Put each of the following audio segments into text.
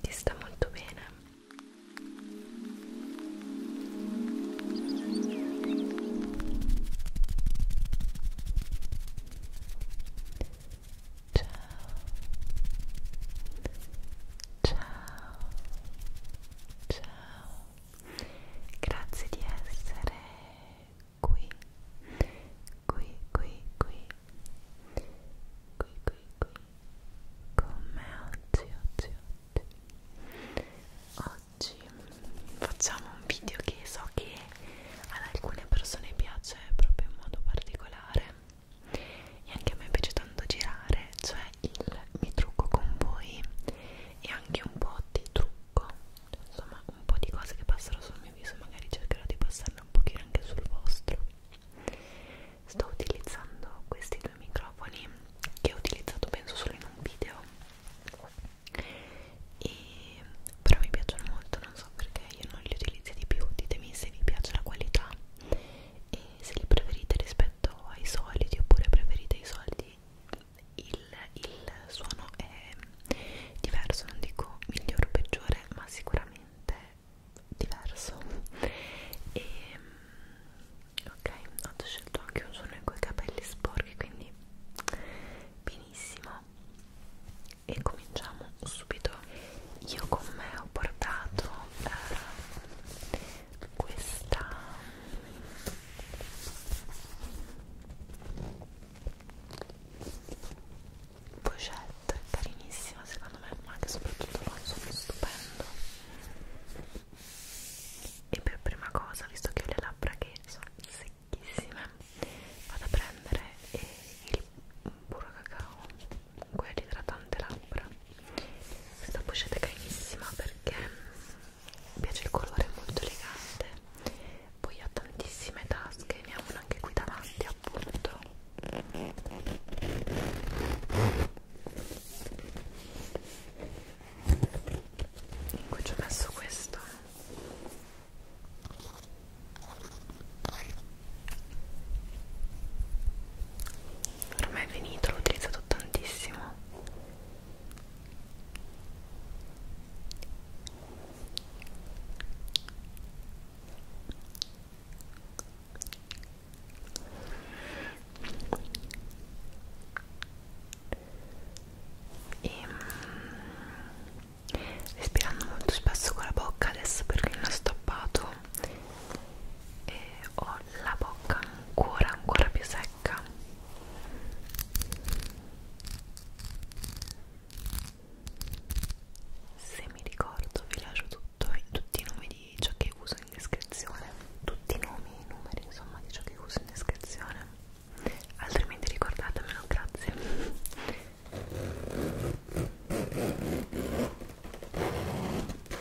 Ti sta molto bene. Ciao. Ciao. Ciao. Grazie di essere qui. Qui, qui, qui. Qui, qui, qui. Con me oggi, oggi, oggi. Oggi facciamo un video che so che ad alcune persone piace proprio in modo particolare e anche a me piace tanto girare cioè il mi trucco con voi e anche un po' di trucco insomma un po' di cose che passano sul mio viso magari cercherò di passarle un pochino anche sul vostro sto utilizzando questi due microfoni che ho utilizzato penso solo in un video e però mi piacciono molto non so perché io non li utilizzo di più ditemi se vi piace la qualità e se li preferite rispetto ai soliti oppure preferite i soldi il, il suono è diverso non dico migliore o peggiore ma sicuramente diverso e ok ho scelto anche un suono in quei capelli sporchi quindi benissimo e cominciamo subito io con me ho portato eh, questa pochette carinissima secondo me ma anche soprattutto l'osso stupendo e per prima cosa visto che ho le labbra che sono secchissime vado a prendere eh, il burro cacao comunque è l'idratante labbra questa pochette è carinissima perché mi piace il colore molto elegante poi ha tantissime tasche ne ha una anche qui davanti appunto in cui ci ho messo questo ormai è finito l'ho utilizzato tantissimo e, ehm, respirando molto spesso con la bocca adesso perché non ho stoppato e ho la bocca ancora ancora più secca se mi ricordo vi lascio tutto, tutti i nomi di ciò che uso in descrizione tutti i nomi, i numeri insomma di ciò che uso in descrizione altrimenti ricordatemelo, grazie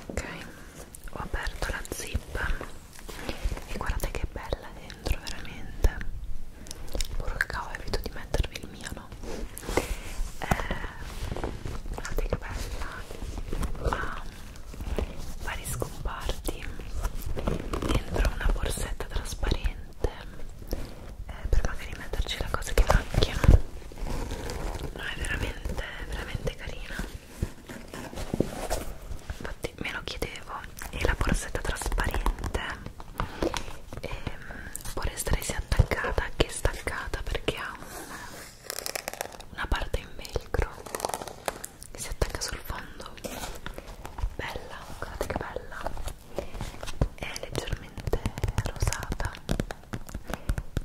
ok ho aperto la zip e guardate che bella dentro veramente porca ho evito di mettervi il mio no eh, guardate che bella ha vari scomparti dentro una borsetta trasparente eh, per magari metterci la cosa che manchi no è veramente veramente carina infatti me lo chiedevo e la borsetta trasparente e, ehm, può restare sia attaccata che staccata perché ha un, una parte in velcro che si attacca sul fondo bella guardate che bella è leggermente rosata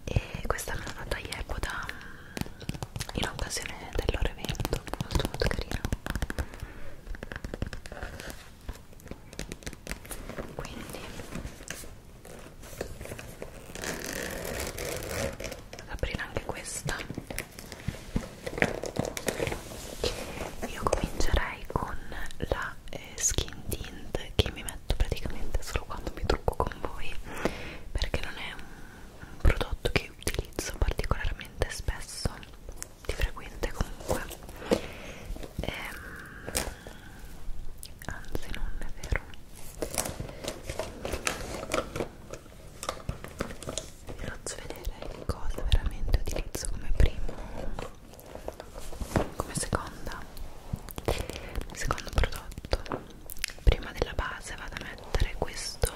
e questa me l'ha data Yepoda in occasione del loro evento molto molto carino quindi ad aprire anche questa io comincerei con la eh, skin tint che mi metto letto praticamente solo quando mi trucco con voi perché non è un, un prodotto che utilizzo particolarmente spesso di frequente comunque ehm, anzi non è vero vi faccio vedere che cosa veramente utilizzo come primo come seconda secondo prodotto prima della base vado a mettere questo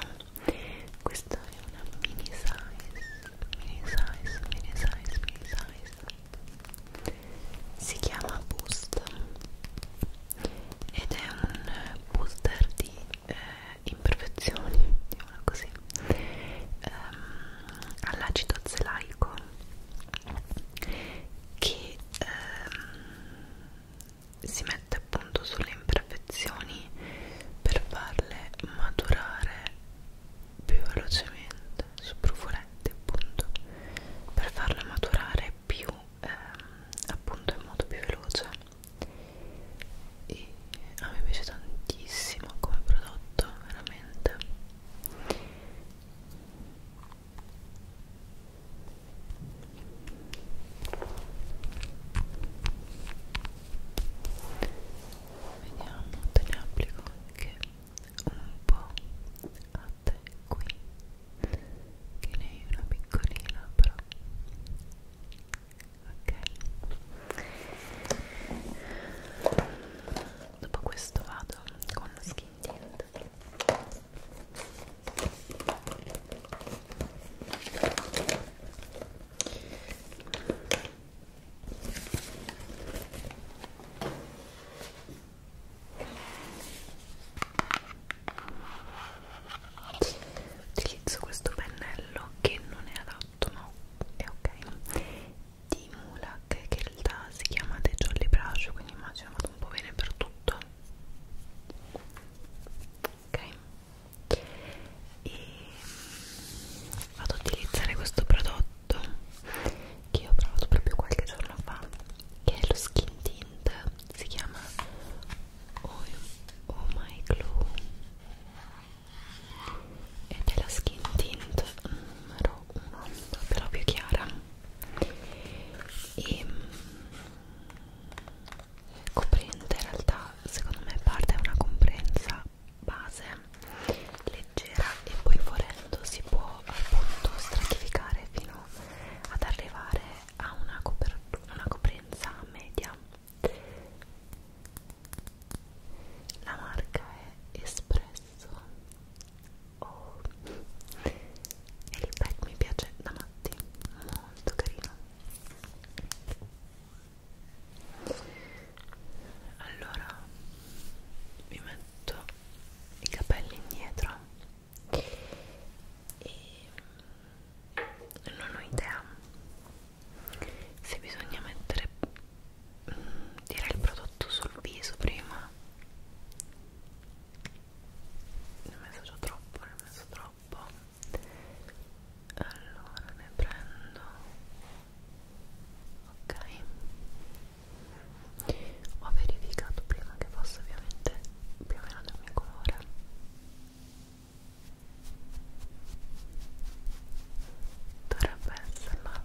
questa è una mini size mini size mini size mini size si chiama boost ed è un booster di eh, imperfezioni diciamo così um, all'acido zelaico che ehm, si mette appunto sulle imperfezioni per farle maturare più velocemente su brufoletti appunto per farle maturare più ehm, appunto in modo più veloce e a me piace tantissimo come prodotto veramente Vediamo, te ne applico anche un po' a te qui, che ne hai una piccolina però. Ok. Dopo questo vado con lo skin tint Utilizzo questo pennello che non è adatto, no? È ok. Di Mulak che in realtà si chiama The Jolly Brush, quindi immagino vado un po' bene per tutto ok e vado ad utilizzare questo prodotto che ho provato proprio qualche giorno fa che è lo skin tint si chiama oh, oh my glow ed è la skin tint numero 1 però più chiara e mm, coprente in realtà secondo me parte da una comprensa base leggera e poi volendo si può appunto stratificare fino ad arrivare a una, una coprenza media la marca è Espresso oh. e il pack mi piace da matti molto carino allora mi metto i capelli indietro e mm, non ho idea se bisogna mettere mh, mm, dire il prodotto sul viso prima ne ho messo già troppo, ne ho messo troppo allora ne prendo ok ho verificato prima che fosse ovviamente più o meno del mio colore dovrebbe esserla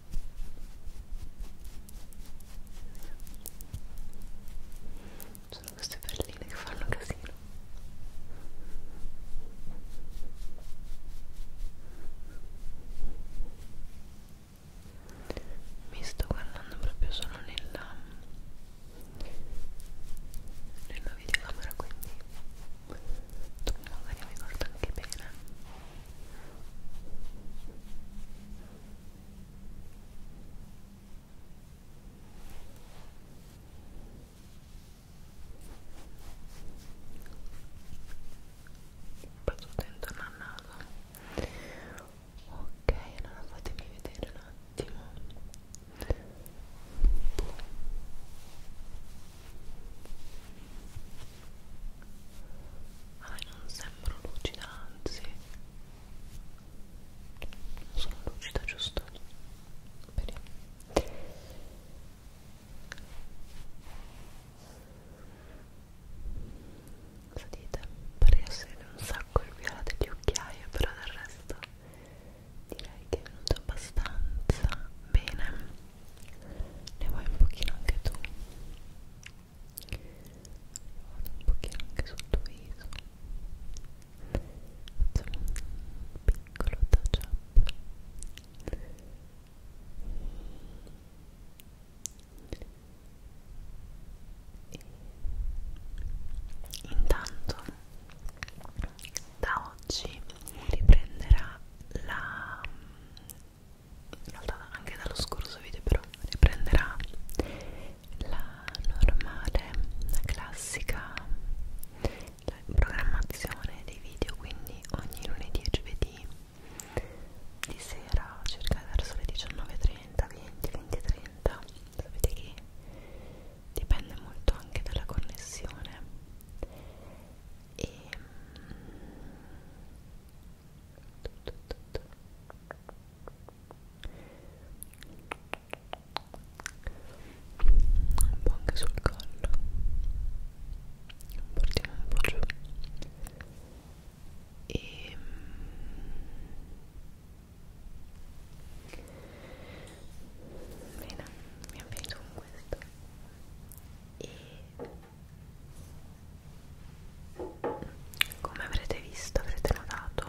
sono queste perline che fanno casino mi sto guardando proprio solo nella nella videocamera quindi tu magari mi guarda anche bene Passo dentro al naso. Ok, allora fatemi vedere un attimo. Ah, non sembro lucida, anzi sono lucida giusto? bene cosa dite? pare essere un sacco il viola degli occhiaie però del resto direi che è venuto abbastanza bene ne vuoi un pochino anche tu? vado un pochino anche sotto viso facciamo un piccolo touch up e intanto da oggi riprenderà la in realtà anche dallo scorso video però riprenderà la normale, la classica la programmazione dei video quindi ogni lunedì e giovedì di sera circa verso le 19.30, 20, 20.30 sapete che dipende molto anche dalla connessione e un po' anche sul collo partiamo un po' giù e mm, bene abbiamo finito con questo e come avrete visto avrete notato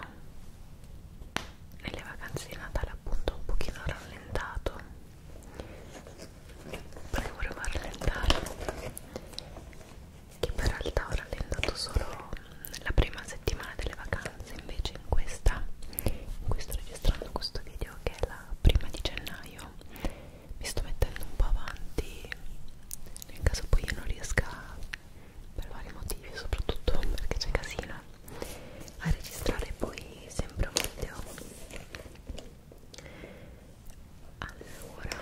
nelle vacanze di Natale appunto un pochino rallentato perché volevo rallentare che per realtà ho rallentato solo la prima settimana delle vacanze invece in questa in cui sto registrando questo video che è la prima di gennaio mi sto mettendo un po' avanti nel caso poi io non riesca per vari motivi soprattutto perché c'è casino a registrare poi sempre un video allora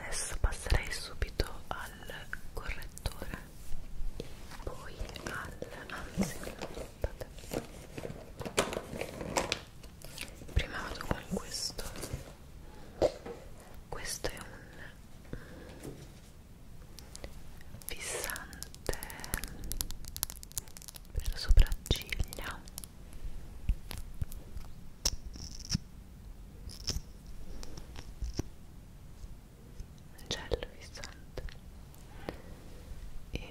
adesso passerei subito al correttore e poi al anzi aspettate prima vado con questo questo è un fissante per le sopracciglia un gel fissante e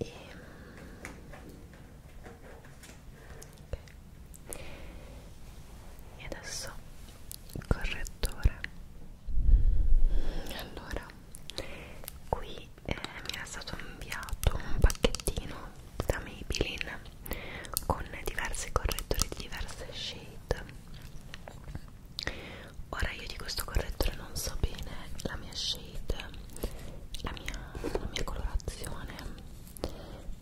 e okay. e adesso il correttore allora qui eh, mi era stato inviato un pacchettino da Maybelline con diversi correttori di diverse shade ora io di questo correttore non so bene la mia shade shade la mia, la mia colorazione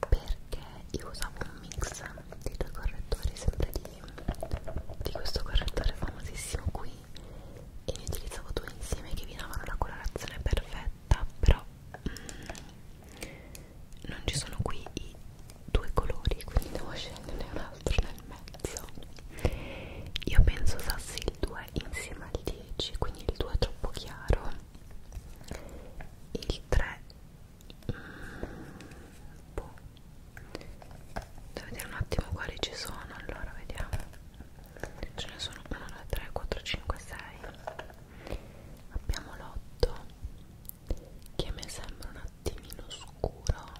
perché io usavo un mix di due correttori sempre di, di questo correttore famosissimo qui e ne utilizzavo due insieme che vi davano la colorazione perfetta però mm, non ci sono qui i due colori quindi devo sceglierne un altro nel mezzo io penso usassi il 2 2 insieme al 10 quindi il 2 è troppo chiaro il 3 mm, boh. devo vedere un attimo quali ci sono allora vediamo ce ne sono 1 2 3 4 5 6 abbiamo l'8 che mi sembra un attimino scuro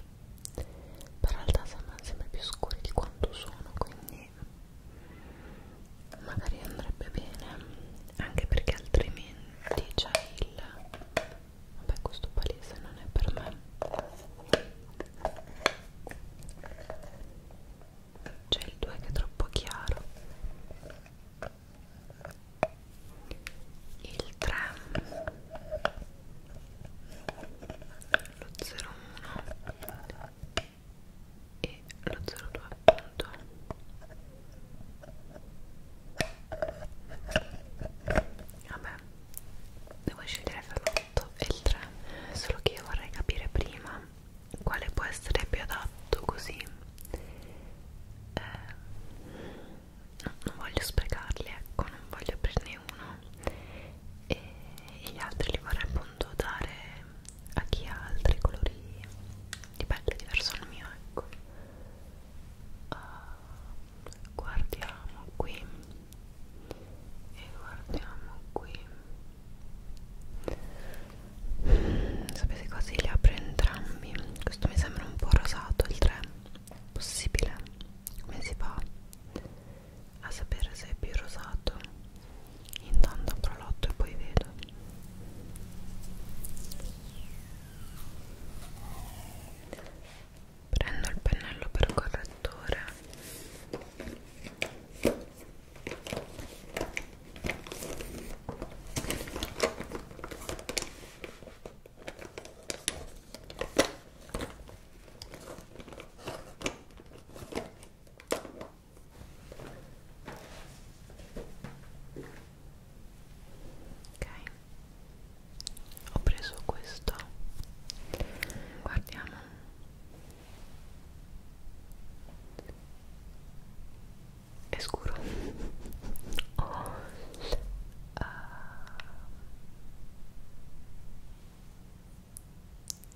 però in realtà sembrano sempre più scuri di quanto sono quindi magari magari andrebbe bene anche perché altrimenti c'è cioè, il vabbè questo palese non è per me c'è il 2 che è troppo chiaro il 3 lo 01 e lo 02 appunto vabbè devo scegliere fra l'8 e il 3 solo che io vorrei capire prima quale può essere più adatto così eh, no, non voglio sprecarli ecco non voglio aprirne uno e gli altri li vorrei appunto dare a chi ha altri colori di pelle diverso dal mio ecco uh, guardiamo qui e guardiamo qui mm, sapete così li apro entrambi questo mi sembra un po' rosato il 3 possibile come si fa a sapere se è più rosato intanto prolotto e poi vedo prendo il pennello per correttore ok ho preso questo guardiamo è scuro oh. uh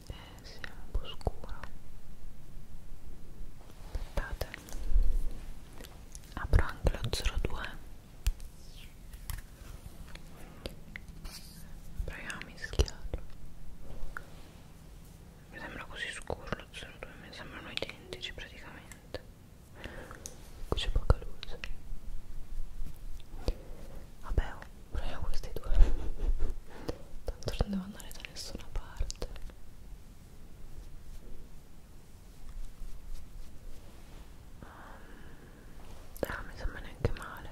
eh, sia un po' scuro aspettate apro anche lo 02 proviamo a mischiarlo mi sembra così scuro lo 02 mi sembrano identici praticamente qui c'è poca luce vabbè oh proviamo eh, questi due tanto non devo andare da nessuna parte ehm, ah, mi sembra neanche male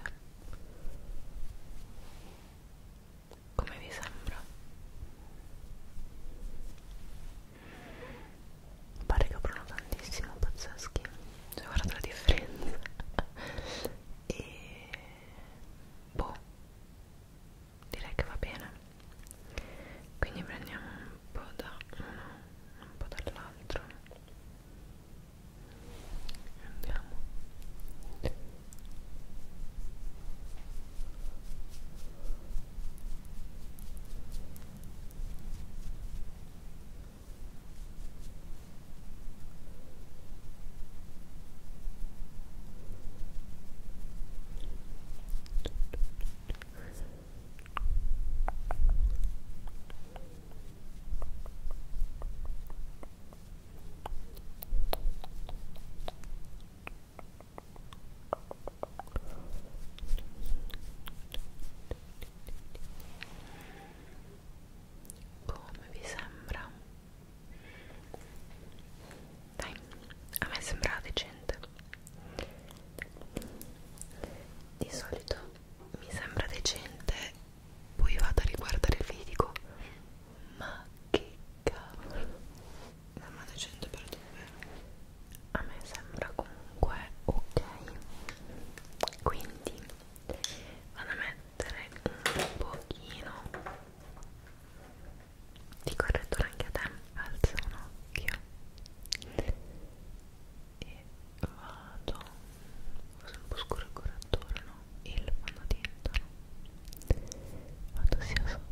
come vi sembra? pare che aprono tantissimo pazzeschi cioè guarda la differenza e boh direi che va bene quindi prendiamo un po' da uno un po' dall'altro andiamo ok come vi sembra? Dai, a me sembra decente. Di solito mi sembra decente, poi vado a riguardare il video e dico ma che cavolo. Sembra decente per dove? A me sembra comunque ok. Quindi vado a mettere mettere un pochino di correttore anche a te alza un occhio e vado forse un po' scuro il correttore no? il fondotinta no? vado sia sotto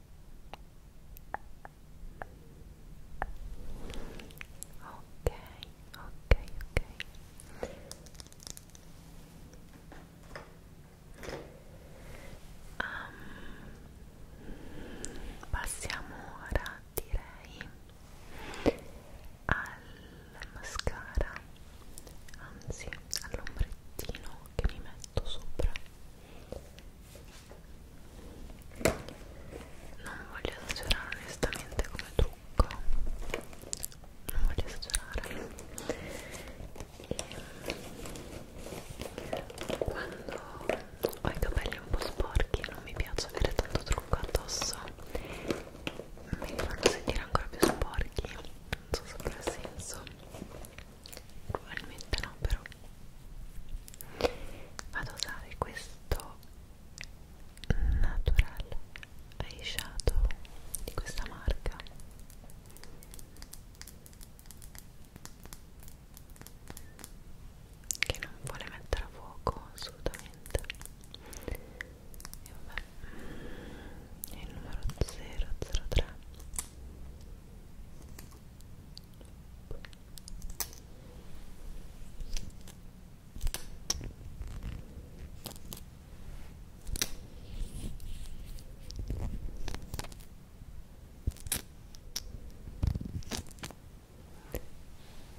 ok ok ok um, passiamo ora direi al mascara anzi all'ombrettino che mi metto sopra non voglio esagerare onestamente come trucco non voglio esagerare e quando ho i capelli un po' sporchi non mi piace avere tanto trucco addosso mi fanno sentire ancora più sporchi non so se avrà senso probabilmente no però vado a usare questo natural eyeshadow di questa marca che non vuole mettere a fuoco assolutamente e vabbè è il numero 003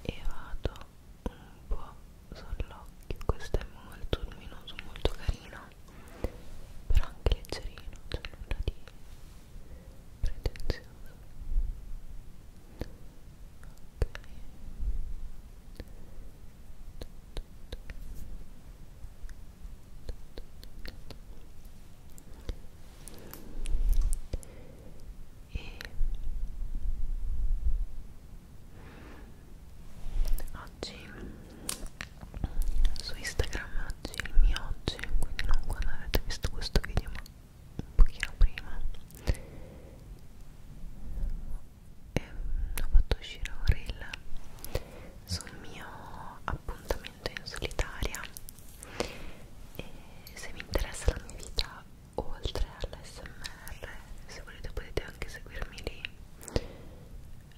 e vado un po' sull'occhio questo è molto luminoso molto carino però anche leggerino, c'è cioè nulla di pretenzioso ok e oggi su Instagram oggi, il mio oggi, quindi non quando avete visto questo video ma un pochino prima e mm, ho fatto uscire un reel sul mio appuntamento in solitaria e se vi interessa la mia vita oltre all'SMR se volete potete anche seguirmi lì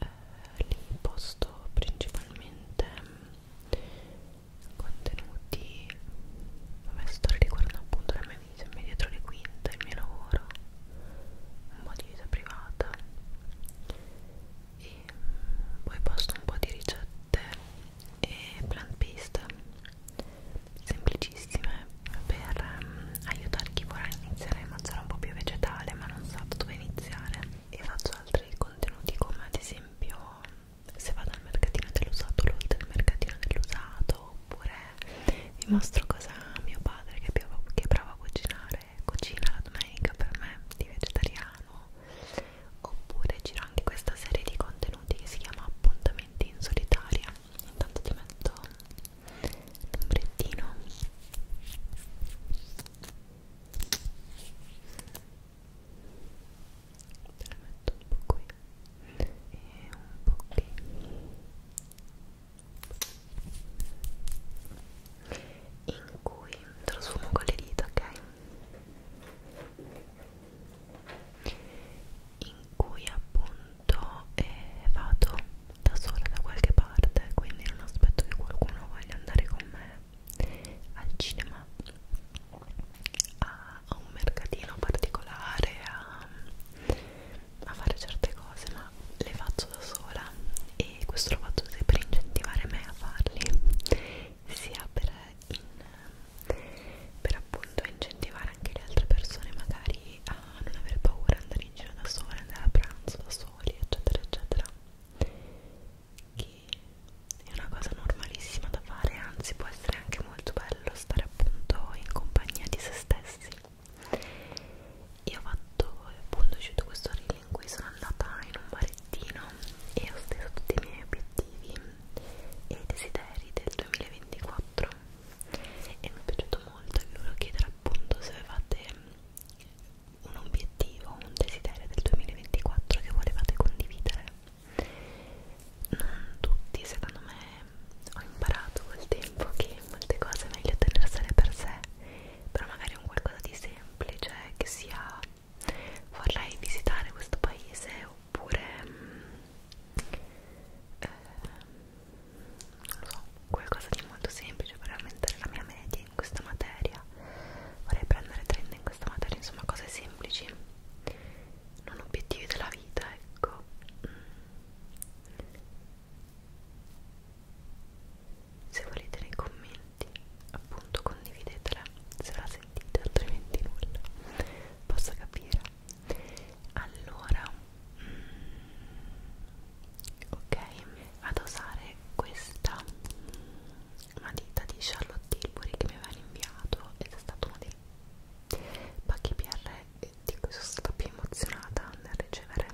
eh, lì posto principalmente mm, contenuti vabbè storie riguardano appunto la mia vita dietro le quinte, il mio lavoro un po' di vita privata e mm, poi posto un po' di ricette e plant based semplicissime per um, aiutare chi vorrà iniziare a mangiare un po' più vegetale ma non sa da dove iniziare e faccio altri contenuti come ad esempio se vado al mercatino dell'usato l'haul del mercatino dell'usato oppure vi mostro cosa mio padre che, piova, che è bravo a cucinare cucina la domenica per me di vegetariano oppure giro anche questa serie di contenuti che si chiama appuntamenti in solitaria intanto ti metto l'ombrettino te la metto un po' qui e un po' qui in cui trasfumo con le dita, ok? in cui appunto eh, vado da sola da qualche parte quindi non aspetto che qualcuno voglia andare con me al cinema, a, a un mercatino particolare, a, a fare certe cose, ma le faccio da sola e questo lo faccio sia per incentivare me a farli, sia per, in, per appunto incentivare anche le altre persone magari a non avere paura, andare in giro da sole, andare a pranzo da soli, eccetera, eccetera che è una cosa normalissima da fare, anzi può essere anche molto bello stare appunto in compagnia di se stessi. Io ho fatto appunto ho uscito questo reel in cui sono andata in un barettino e ho steso tutti i miei obiettivi e desideri del 2024 e mi è piaciuto molto e vi volevo chiedere appunto se avevate un obiettivo, un desiderio del 2024 che volevate condividere. Non tutti, secondo me, ho imparato col tempo che molte cose è meglio tenersele per sé, però magari un qualcosa di semplice che sia vorrei visitare questo paese oppure mm, eh, non lo so, qualcosa di molto semplice per aumentare la mia media in questa materia vorrei prendere 30 in questa materia insomma cose semplici non obiettivi della vita ecco mm. se volete nei commenti appunto condividetela se la sentite altrimenti nulla posso capire allora mm, ok vado a usare questa una ditta di Charlotte Tilbury che mi aveva inviato ed è stato uno dei pacchi PR di cui sono stata più emozionata nel ricevere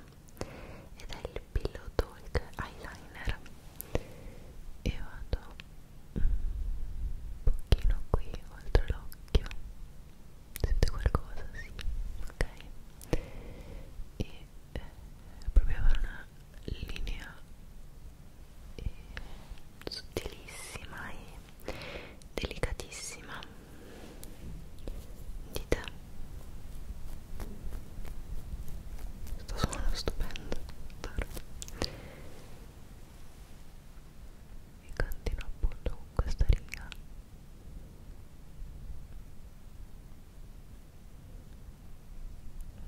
ed è il Pillow Talk Eyeliner e vado un pochino qui oltre l'occhio si vede qualcosa? sì, ok e eh, proviamo a fare una linea e sottilissima e delicatissima di te sto suonando stupendo e continuo appunto con questa riga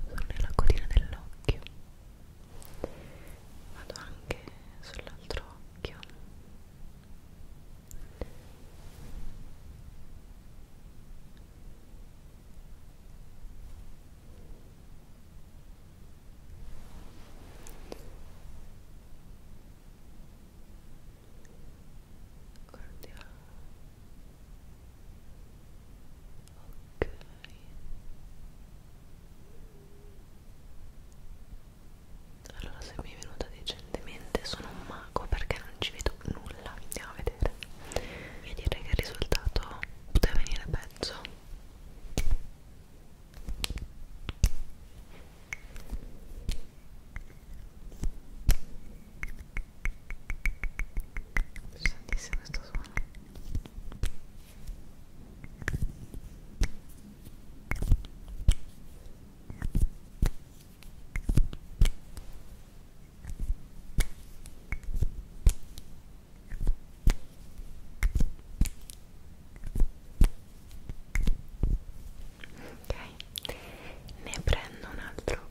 sono nella codina dell'occhio vado anche sull'altro occhio guardiamo Ok. Allora se mi è venuta decentemente sono un mago perché non ci vedo nulla, andiamo a vedere. E direi che il risultato poteva venire peggio. Sentissimo questo suono Ok, ne prendo un altro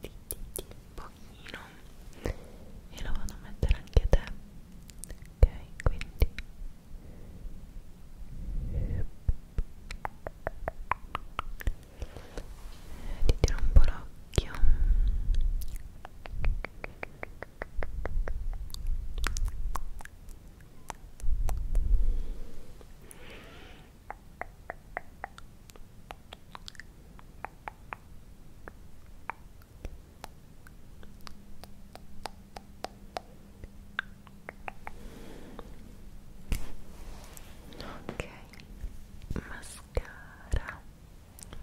di, di, di, pochino e lo vado a mettere anche a te ok quindi eh, ti tiro un po' l'occhio ok ok mascara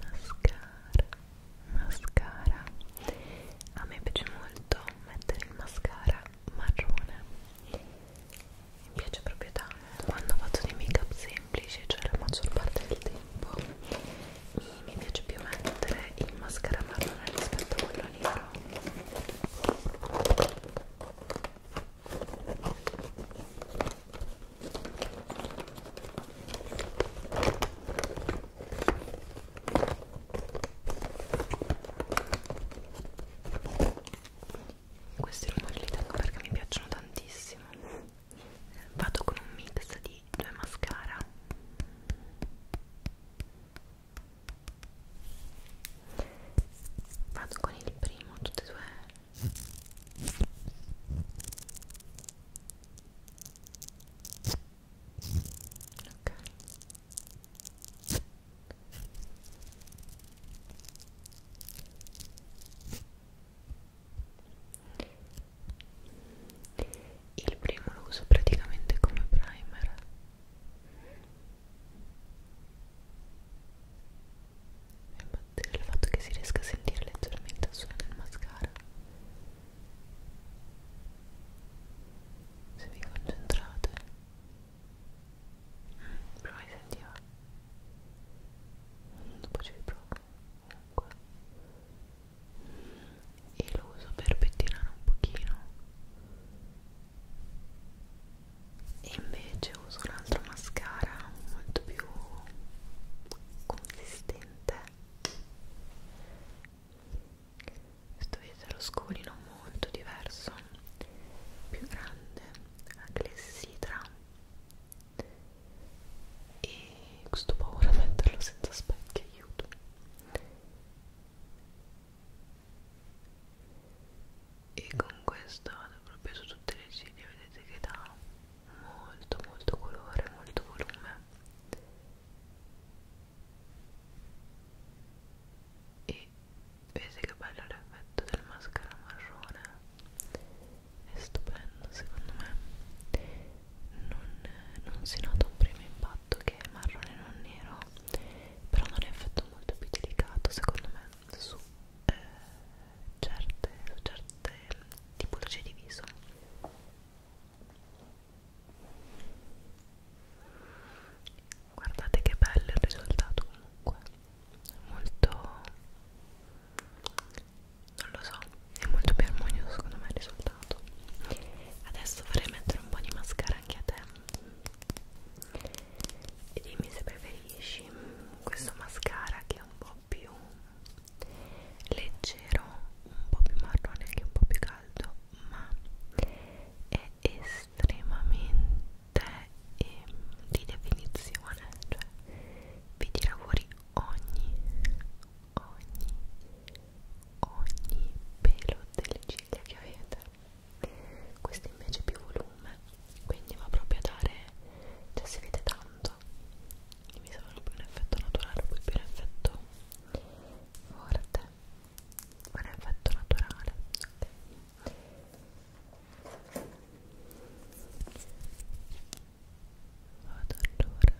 mascara mascara a me piace molto mettere il mascara marrone mi piace proprio tanto quando faccio dei make up semplici semplici cioè la maggior parte del tempo e mi piace più mettere il mascara marrone rispetto a quello nero questi rumori li tengo perché mi piacciono tantissimo vado con un mix di due mascara vado con il primo tutte e due ok il primo lo uso praticamente come primer. Mi batteva il fatto che si riesca a sentire leggermente il suono del mascara. Se vi concentrate, mm, prima mi sentiva. Dopo ci riprovo acqua e lo uso per pettinare un pochino e invece uso un altro mascara molto più consistente questo vedete lo scolino molto diverso più grande a clessidra e questo paura a metterlo senza specchi aiuto e con questo vado proprio su tutte le ciglia vedete che dà molto molto colore molto volume e vedete che bello l'effetto del mascara marrone è stupendo secondo me non, non si nota un primo impatto che è marrone non nero però non è un effetto molto più delicato secondo me su, eh, certe, su certe tipologie di viso guardate che bello il risultato comunque molto non lo so, è molto più armonioso secondo me il risultato adesso vorrei mettere un po' di mascara anche a te e dimmi se preferisci questo mascara che è un po' più leggero un po' più marrone anche un po' più caldo ma è estremamente eh, di definizione cioè vi tira fuori ogni ogni, ogni pelo delle ciglia che avete questo invece è più volume quindi va proprio a dare cioè si vede tanto mi sembra più un effetto naturale poi più un effetto forte un effetto naturale okay. Vado allora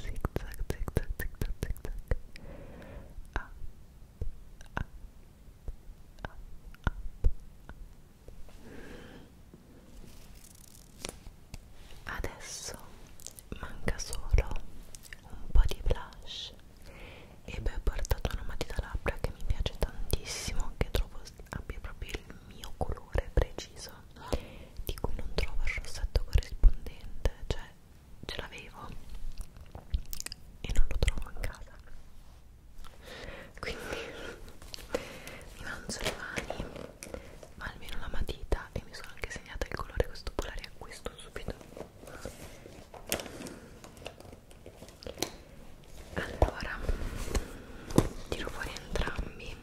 zig zag zig zag zig zag zig zag up up up up adesso manca solo un po' di blush e poi ho portato una matita labbra che mi piace tantissimo che trovo abbia proprio il mio colore preciso di cui non trovo il rossetto corrispondente cioè ce l'avevo e non lo trovo in casa quindi mi mangio le mani ma almeno la matita e mi sono anche segnata il colore questo polare acquisto subito allora tiro fuori entrambi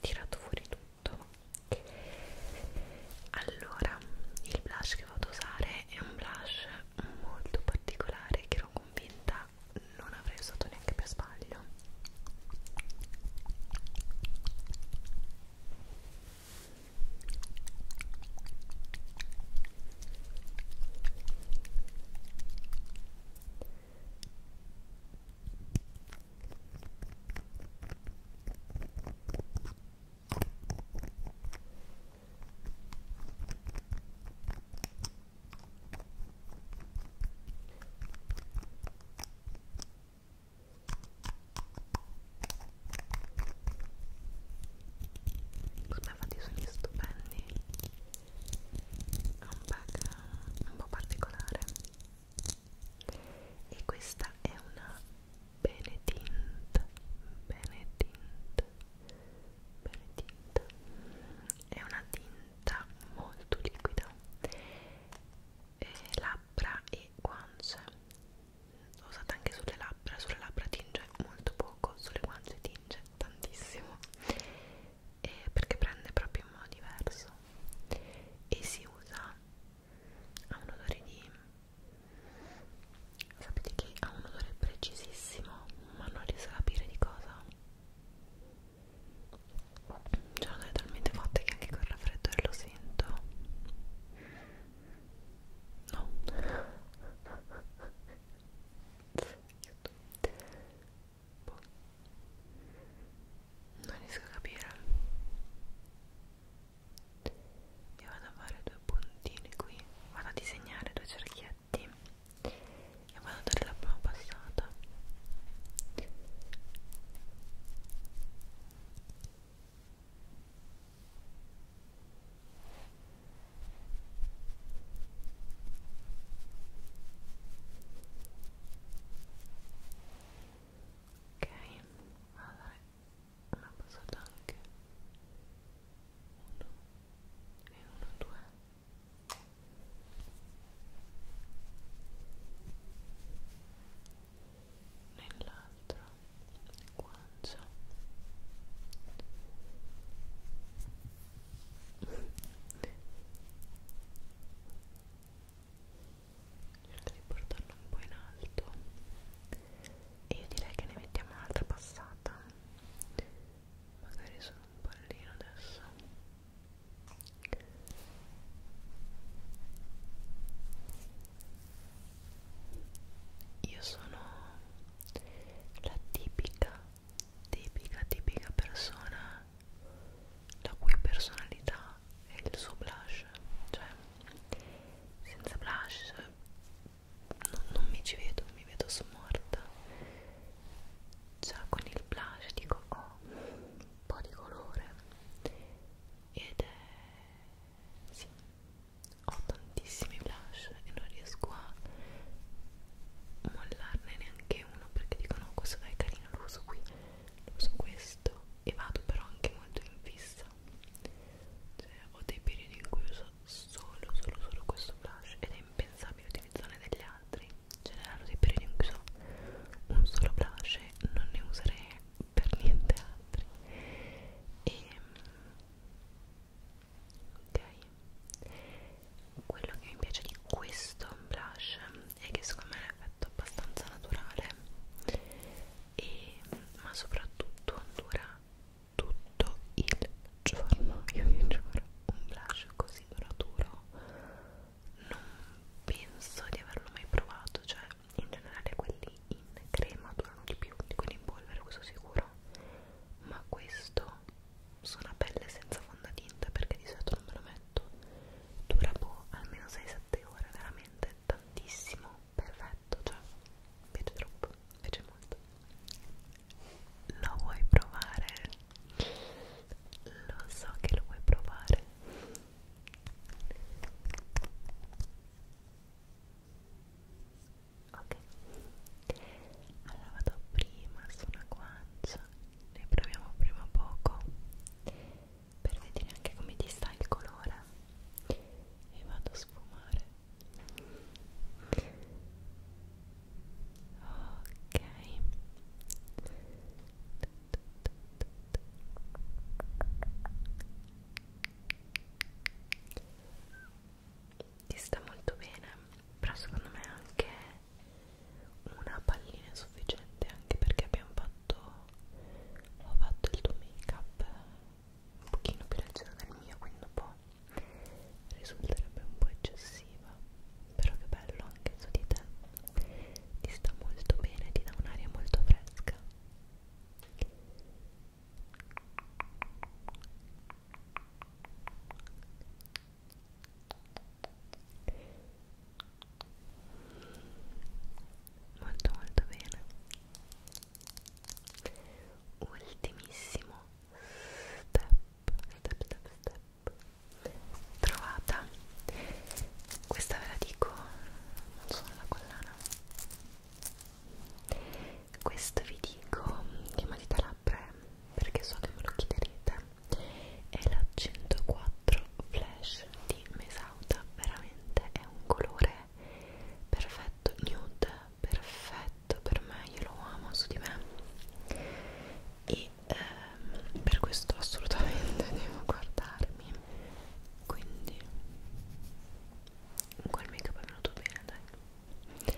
tirato fuori tutto allora il blush che riuscivo ad usare è un blush molto particolare che ero convinta non avrei usato neanche per sbaglio come fa dei suoni stupendi ha un bug un po' particolare e questa è una Benedint Benedint Benedint è una tinta molto liquida e labbra e guance l'ho usata anche sulle labbra sulle labbra tinge molto poco sulle guance tinge tantissimo e perché prende proprio in modo diverso e si usa ha un odore di Sapete che ha un odore precisissimo, ma non riesco a capire di cosa. C'è un odore talmente forte che anche col raffreddore lo sento. No. Boh. Non riesco a capire e vado a fare due puntini qui vado a disegnare due cerchietti e vado a dare la prima passata ok allora hanno passato anche uno e uno due nell'altra guancia cerca di portarlo un po' in alto e io direi che ne mettiamo un'altra passata magari sono un pallino adesso io sono la tipica tipica tipica persona la cui personalità è il suo blush cioè senza blush non, non mi ci vedo, mi vedo smorta già con il blush dico ho oh, un po' di colore ed è... sì, ho tantissimi blush e non riesco a mollarne neanche uno perché dico no oh, questo dai carino lo uso qui lo uso questo e vado però anche molto in fissa cioè ho dei periodi in cui uso solo, solo, solo questo blush ed è impensabile utilizzarne degli altri. Generano dei periodi in cui so un solo blush e non ne userei per niente altri. E, ehm, ok, quello che mi piace di questo blush è che secondo me è un effetto abbastanza naturale, e, ma soprattutto dura tutto il giorno io vi giuro un blush così duraturo non penso di averlo mai provato cioè in generale quelli in crema durano di più di quelli in polvere questo sicuro ma questo sulla pelle senza fondotinta perché di solito non me lo metto dura boh almeno 6-7 ore veramente tantissimo perfetto perfetto, cioè mi piace troppo, mi piace molto. Lo vuoi provare? Lo so che lo vuoi provare. Ok, allora vado prima su una guancia, ne proviamo prima poco per vedere anche come ti sta il colore e vado a sfumare ok ti sta molto bene però secondo me anche una pallina è sufficiente anche perché abbiamo fatto ho fatto il tuo make up un pochino più leggera del mio quindi un po' risulterebbe un po' eccessiva però che bello anche su di te ti sta molto bene ti dà un'aria molto fresca molto molto bene ultimissimo step, step, step trovata questa ve la dico non sono la collana questo vi dico che matita labbra perché so che me lo chiederete è la 104 flash di Mesauta veramente è un colore perfetto nude perfetto perfetto per me, io lo amo su di me e ehm, per questo assolutamente devo guardarmi quindi quel make up è venuto bene dai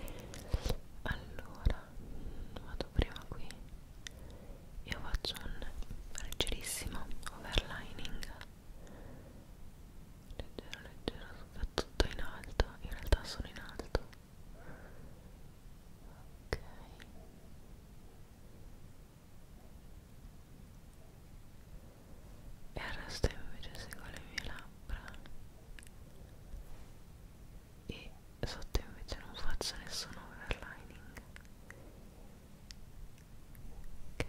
allora vado prima qui io faccio un leggerissimo overlining leggero leggero soprattutto in alto in realtà sono in alto ok e il resto invece segue le mie labbra e sotto invece non faccio nessun overlining ok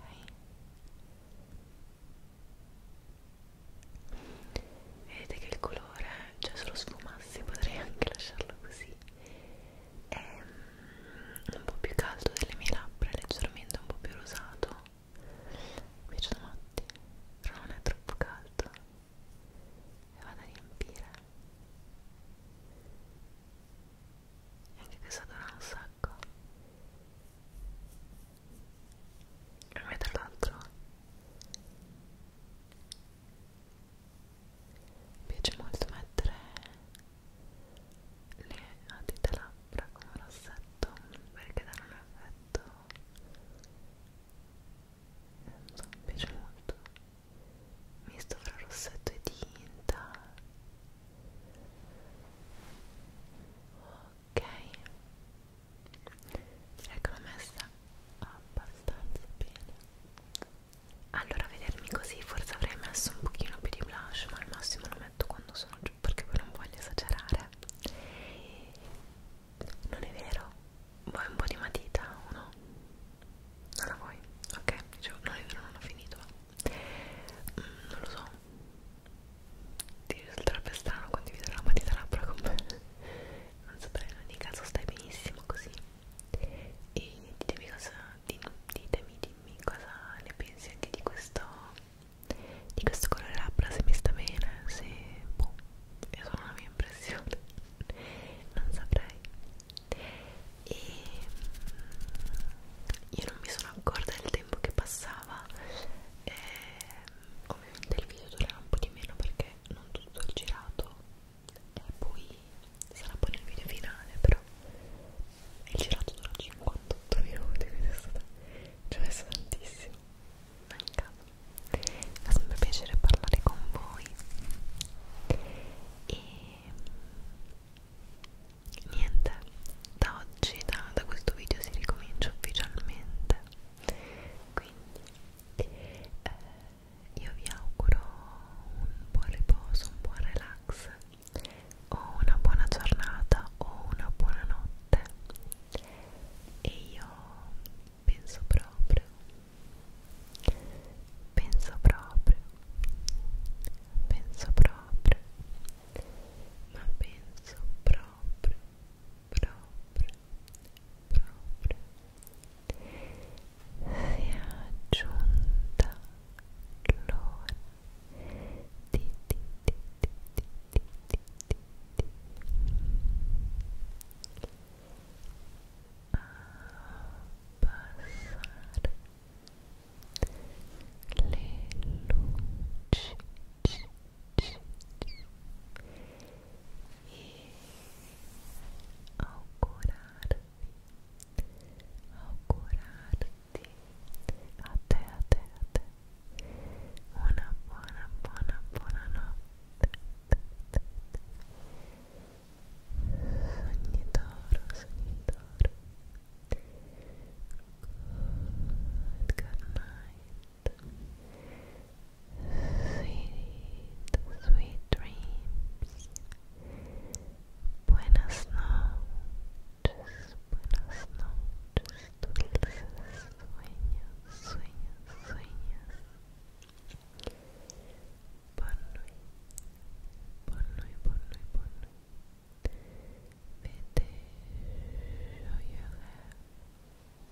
vedete che il colore cioè se lo sfumassi potrei anche lasciarlo così è mm, un po' più caldo delle mie labbra leggermente un po' più rosato mi piacciono matti però non è troppo caldo e vado a riempire e anche questa dura un sacco Vedete l'altro? Mi piace molto mettere le dita labbra come rossetto perché danno un effetto so, mi piace molto misto fra rossetto e tinta oh, ok ecco l'ho messa abbastanza bene allora a vedermi così forse avrei messo un pochino più di blush ma al massimo lo metto quando sono giù perché poi non voglio esagerare non è vero? vuoi un po' di matita o no? non la vuoi? ok, dicevo, cioè, non è vero, non ho finito mm, non lo so ti risulterebbe strano condividere la matita labbra con me non saprei in ogni caso stai benissimo così e ditemi cosa ditemi dimmi cosa ne pensi anche di questo di questo colore labbra se mi sta bene se boh è solo una mia impressione non saprei e io non mi sono accorta del tempo che passava eh, ovviamente ecco, il video durerà un po' di meno perché non tutto il girato e poi sarà poi nel video finale però il girato dura 58 minuti quindi è stato ci ho messo tantissimo ma in caso fa sempre piacere parlare con voi e niente da oggi da, da questo video si ricomincia ufficialmente quindi eh, io vi auguro un buon riposo, un buon relax o una buona giornata o una buona notte e io penso proprio penso proprio penso proprio ma penso proprio proprio proprio sia giunta l'ora di, di, di, di, di, di, di, di, di abbassare le luci e augurarti, a te, a te, a te una buona, buona, buona notte sognitoro, sognitoro good night Sweet, sweet dreams. Buenas noches, buenas noches, dulces sueños, sueños, sueños. Ponui, ponui, ponui, ponui. Vete, yo llegué.